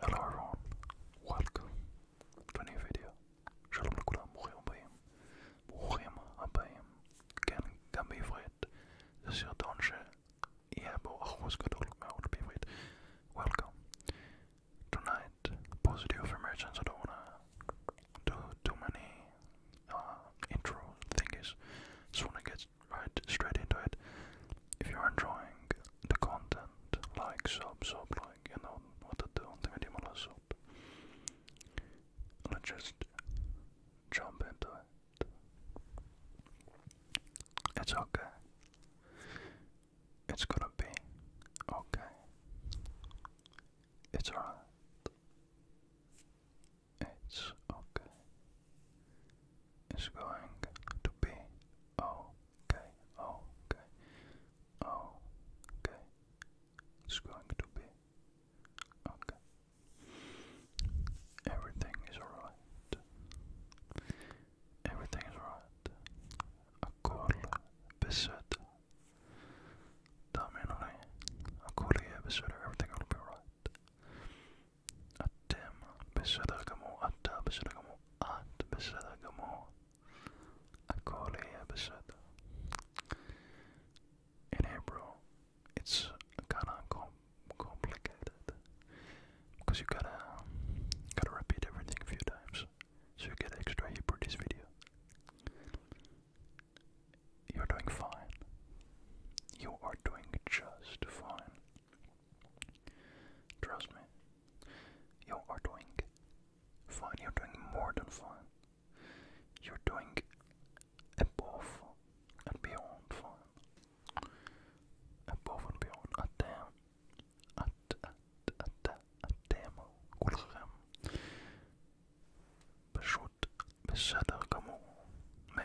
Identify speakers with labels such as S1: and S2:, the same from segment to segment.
S1: Hello everyone, welcome to a new video. שלום לכולם, ברוכים הבאים. ברוכים הבאים. כן, גם בעברית. זה סרטון שיהיה בו אחוז גדול מאוד בעברית. Welcome. Tonight, positive emergence, I don't wanna do too many uh, intro thingies. So wanna get right straight into it if you're enjoying the content, like, sub, sub, like, you know what to do, the let sub. Let's just jump into it. It's okay. It's gonna be okay. It's alright. It's okay. It's going to be okay okay, okay, okay. It's going to be okay. Everything is alright. Everything is alright. Akol besöd. Där menar ni. Everything will be alright. אתם בסדר גמור, אתה בסדר גמור, את בסדר In April, it's kind of complicated because you gotta gotta repeat everything a few times, so you get extra heat for this video. You're doing fine. You are doing just fine. Trust me, you are doing fine. You're doing more than fine. You're doing above and beyond fine. Above and beyond. A damn. A, a, a, a, a damn. كلهم بشوت بالصدق مو ما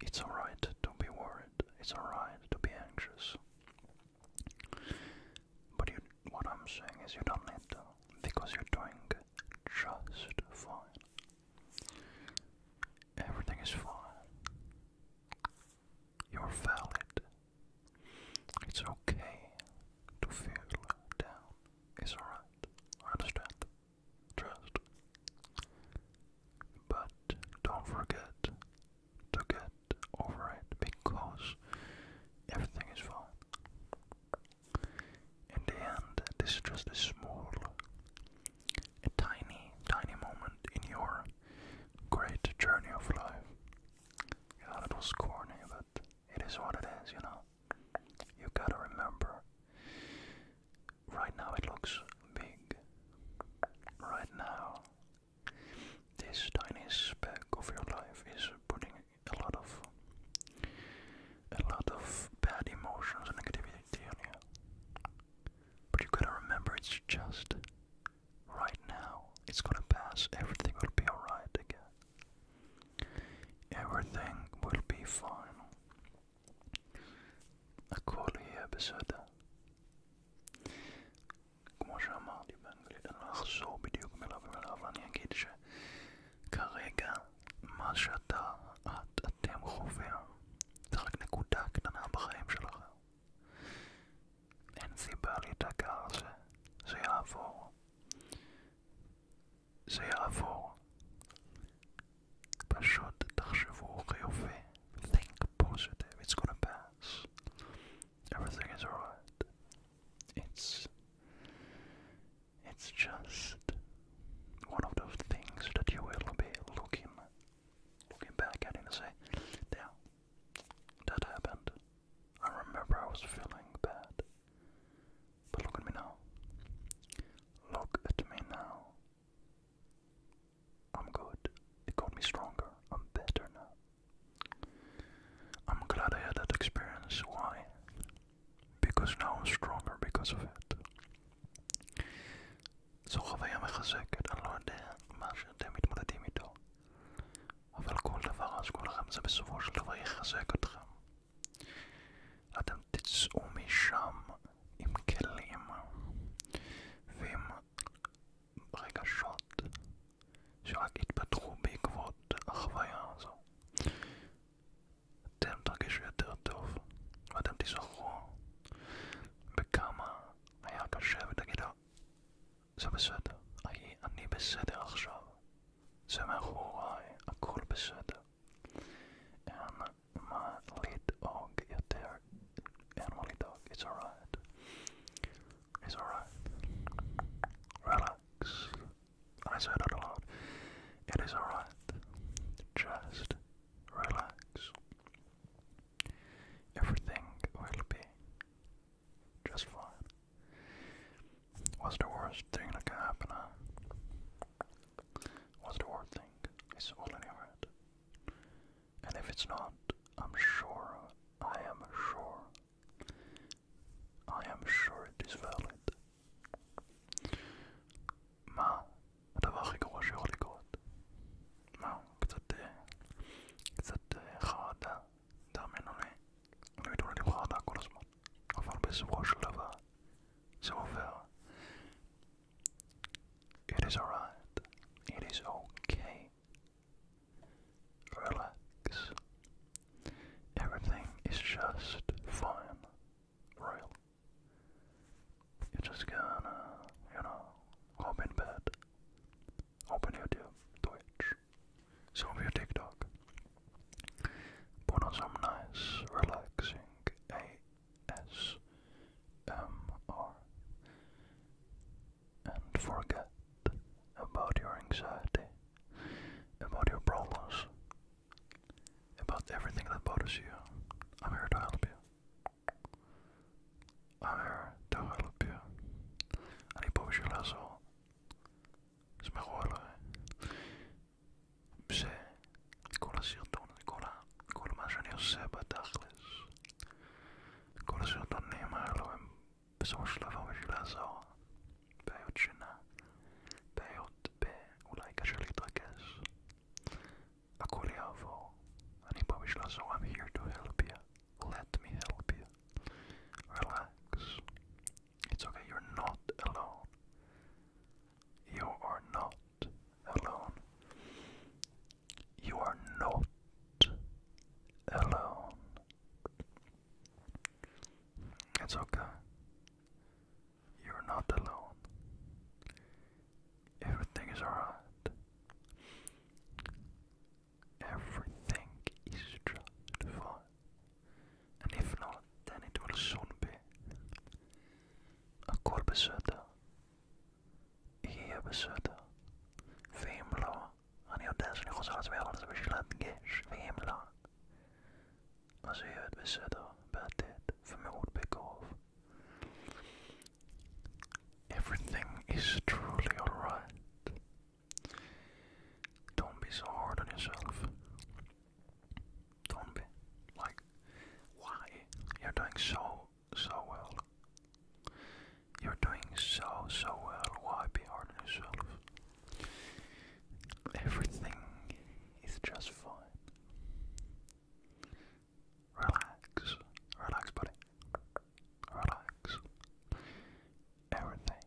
S1: It's alright to be worried. It's alright to be anxious. But you, what I'm saying is you don't need to, because you're doing just fine. Everything is fine. You're valid. It's okay to feel down. It's alright. I understand. Trust. But don't forget to get over it because everything is fine. In the end, this is just a small, a tiny, tiny moment in your great journey of life. You thought it was but it is what it is, you know. You gotta remember right now it looks big. Right now, this tiny speck of your life is putting a lot of a lot of bad emotions and negativity on you. But you gotta remember it's just right now. It's gonna pass. Everything will be alright again. Everything will be fine. أقول هي بسودة כמו שאמרתי באנגלית, אני לא אחזור בדיוק מילה במילה, אבל אני אגיד שכרגע מה שאתה, את, אתם חווים, זה רק נקודה קטנה בחיים שלכם. אין סיבה להתעקע על זה, זה יעבור. זה יעבור. Passade d'Archevaux Réauffé. Think positive. It's gonna pass. Everything is alright. It's it's just one of those things that you will be looking looking back at it and say, Yeah, that happened. I remember I was feeling bad. But look at me now. Look at me now. I'm good. It got me stronger. I'm better now. I'm glad I had that experience. Why? Because now I'm stronger because of it. זו חוויה מחזקת, אני לא יודע מה שאתם מתמודדים איתו, אבל כל דבר אז כולכם זה בסופו של דבר יחזק אתכם. אתם תצאו משם עם כלים ועם רגשות שרק התפתחו בעקבות החוויה הזו. אתם תרגישו יותר טוב ואתם תיזכרו בכמה היה קשה ותגידו זה בסדר, אני, אני בסדר עכשיו, זה מאחוריי, הכל בסדר. אין my lead dog is there. Animal lead dog, it's alright. It's alright. Relax. I said it aloud. It is alright. Just relax. Everything will be just fine. What's the worst thing that can happen? What's the worst thing? It's all your head. And if it's not, I'm sure, I am sure, I am sure it is valid. ما הדבר הכי גרוע שיכול לקרות. מה, קצת, קצת חרדה, תאמינו לי. אני מתמודד עם חרדה כל הזמן, אבל בסופו של דבר זה עובר. It is alright. It is okay. Relax. Everything is just fine. Real. You're just gonna, you know, hop bed. Open YouTube, Twitch, some of your TikTok. Put on some nice, relaxing ASMR and forget about your anxiety, about your problems, about everything that bothers you. I'm here to help you. I'm here to help you. Ani použil lazo. Jsme chválili. Vše κολασιωτών, κολα, κολμάζαν οι Σέμπα τάχλες. Κολασιωτών οι Μάλλον, Σόσλαβα με φιλάζαο, Πέωτσινα, Πέωτ, Πέ, Ουλάικα Σελίτρακες. Ακολιάβο, αν είπα με φιλάζαο, I'm here to help you. Let me help you. Relax. It's okay, you're not alone. You are not alone. You are not alone. It's okay. You're not alone. Everything is alright. Everything is just fine. And if not, then it will soon be. Akolbesöta יהיה בסדר. ואם לא, אני יודע שאני חוזר לעצמי על זה בשביל להדגש, ואם לא, אז יהיה בסדר בעתיד ומאוד בקרוב. Everything is truly alright. Don't be so hard on yourself. Don't be like, why? You're doing so, so well. You're doing so, so well. Why be hard on yourself? Everything is just fine. Relax. Relax, buddy. Relax. Everything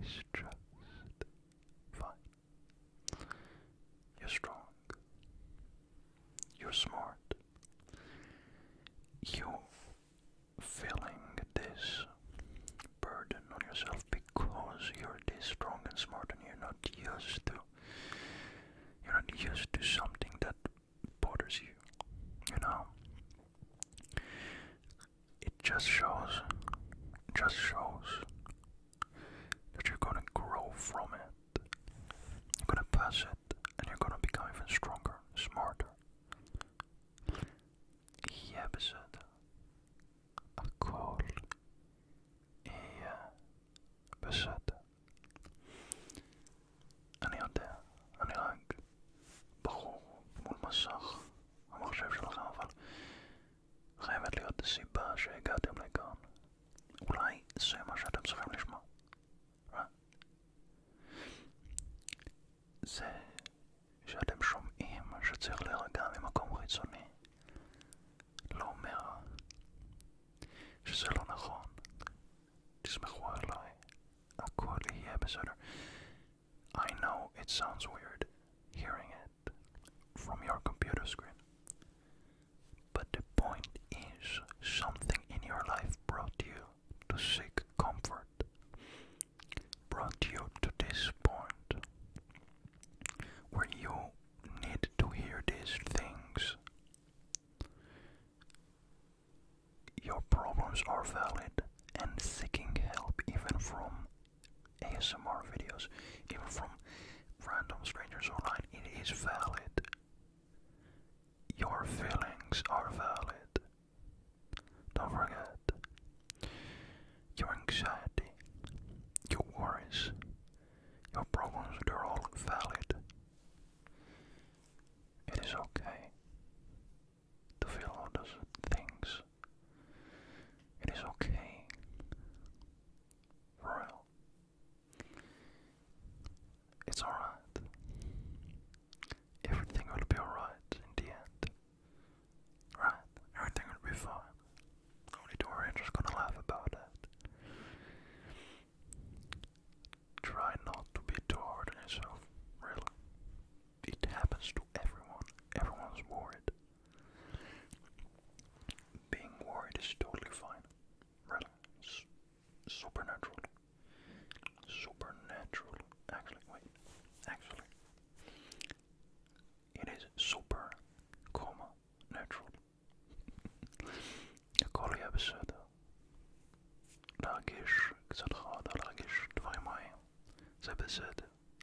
S1: is just fine. You're strong. You're smart. You're feeling this burden on yourself because you're this strong and smart and you're not used to you're not used to something that bothers you. You know? It just shows just shows that you're gonna grow from it. You're gonna pass it and you're gonna become even stronger, smarter. I episode a call I episode أنا أنت أنا راك بخو مول مساخ ما عرفتش חייבת להיות סיבה שהגעתם לכאן. אולי זה מה שאתם צריכים לשמוע. זה שאתם שומעים שצריך להירגע ממקום חיצוני לא אומר שזה לא נכון. תסמכו עליי, הכל יהיה בסדר. I know it sounds weird hearing it from your computer screen. But the point is, something in your life brought you to seek comfort, brought you to this point where you need to hear these things. Your problems are valid, and seeking help, even from ASMR videos, even from random strangers online, it is valid. Your feelings are valid. Don't forget your anxiety, your worries, your problems, they're all valid. It is okay to feel all those things. It is okay it's alright. Everything will be alright in the end. Right? Everything will be fine. Only two gonna laugh about it. Try not to be too hard on yourself, really. It happens to everyone. Everyone's worried. Being worried is totally fine. Really. supernatural. Supernatural. Actually, wait. Actually. It is super, comma, natural. Kolik jag besökte. Lagish, Xadha, Lagish, det var i maj. Så jag besökte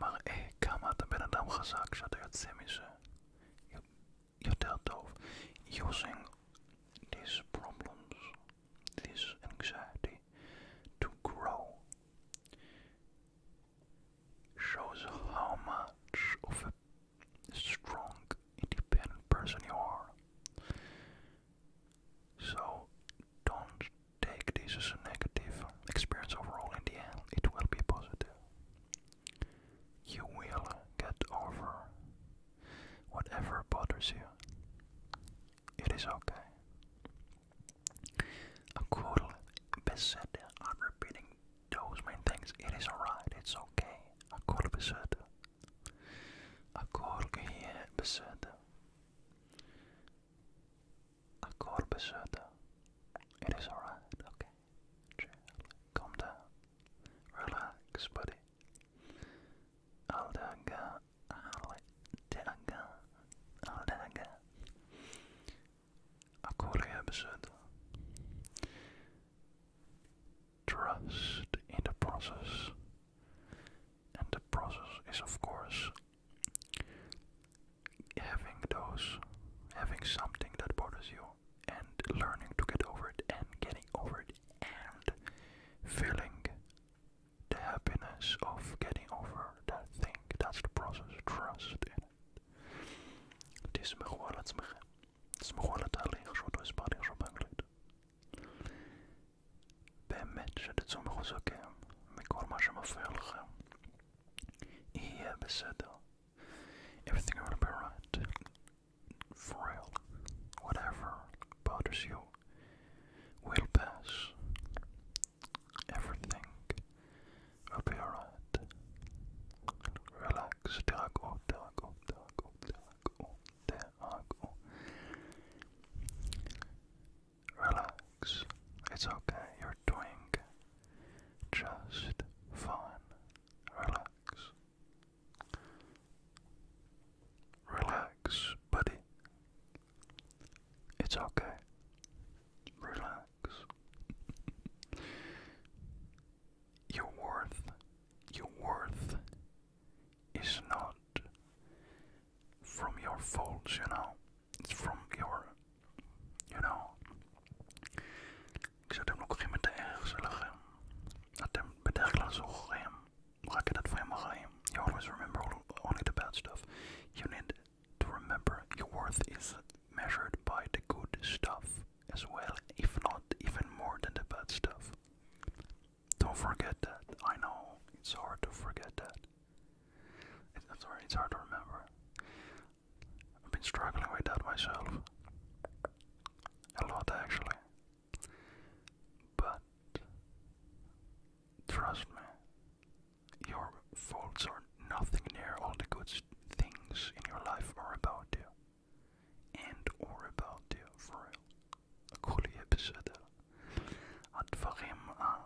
S1: מראה כמה אתה בן אדם חזק כשאתה יוצא מזה. יותר טוב. Using these problems, this anxiety, to grow shows how much of a strong, independent person you are. So don't take this as a negative experience overall, in the end, it will be positive. You will get over whatever bothers you. It is okay. Akul besede, I'm repeating those main things. It is alright, it's okay. Akul besede. Akul gehe besede. A corbesata. It is alright, okay? Calm down. Relax, buddy. Aldaga. Aldaga. Aldaga. A corbesata. Trust in the process. And the process is, of course, having those, having something that bothers you, and learning to get over it, and getting over it, and feeling the happiness of getting over that thing. That's the process. Trust in it. תסמכו על עצמכם. תסמכו על התהליך שעוד לא הסברתי עכשיו באנגלית. באמת שתצאו מחוזקים מכל מה שמפריע לכם. He И я беседовал. Everything to be right. For real. Whatever bothers you will pass. Everything will be alright. Relax. Dag och dag och dag och dag och dag och Relax. It's okay. You're doing just fine. Relax. Relax, buddy. It's okay. Relax. your worth, your worth is not from your faults, you know. It's from your, you know. Ik zou hem ook geen meteen ergens leggen. Dat hem bij dergelijke zo geheim. Maak je dat voor helemaal geheim. You always remember only the bad stuff. You need to remember your worth is measured by the good stuff as well, if not even more than the bad stuff. Don't forget that. I know it's hard to forget that. It, i it's hard to remember. I've been struggling with that myself. A lot, actually. But trust me, your faults are nothing near all the good things in your life are about you. And or about you, for real. أقول يا بسادة الدفاغيم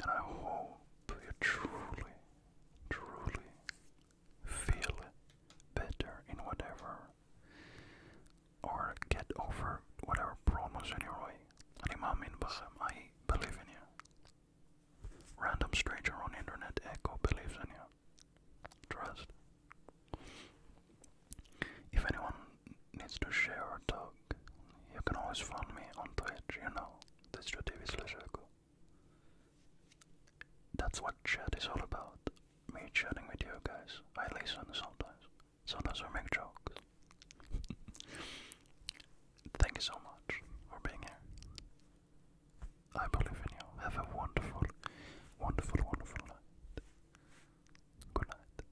S1: And I hope you truly, truly feel better in whatever or get over whatever problems in your I believe in you. Random stranger on internet echo believes in you. Trust. If anyone needs to share or talk, you can always find me on Twitch, you know, twitch.tv slash echo. That's what chat is all about, me chatting with you guys. I listen sometimes, sometimes I make jokes. Thank you so much for being here. I believe in you. Have a wonderful, wonderful, wonderful night. Good night.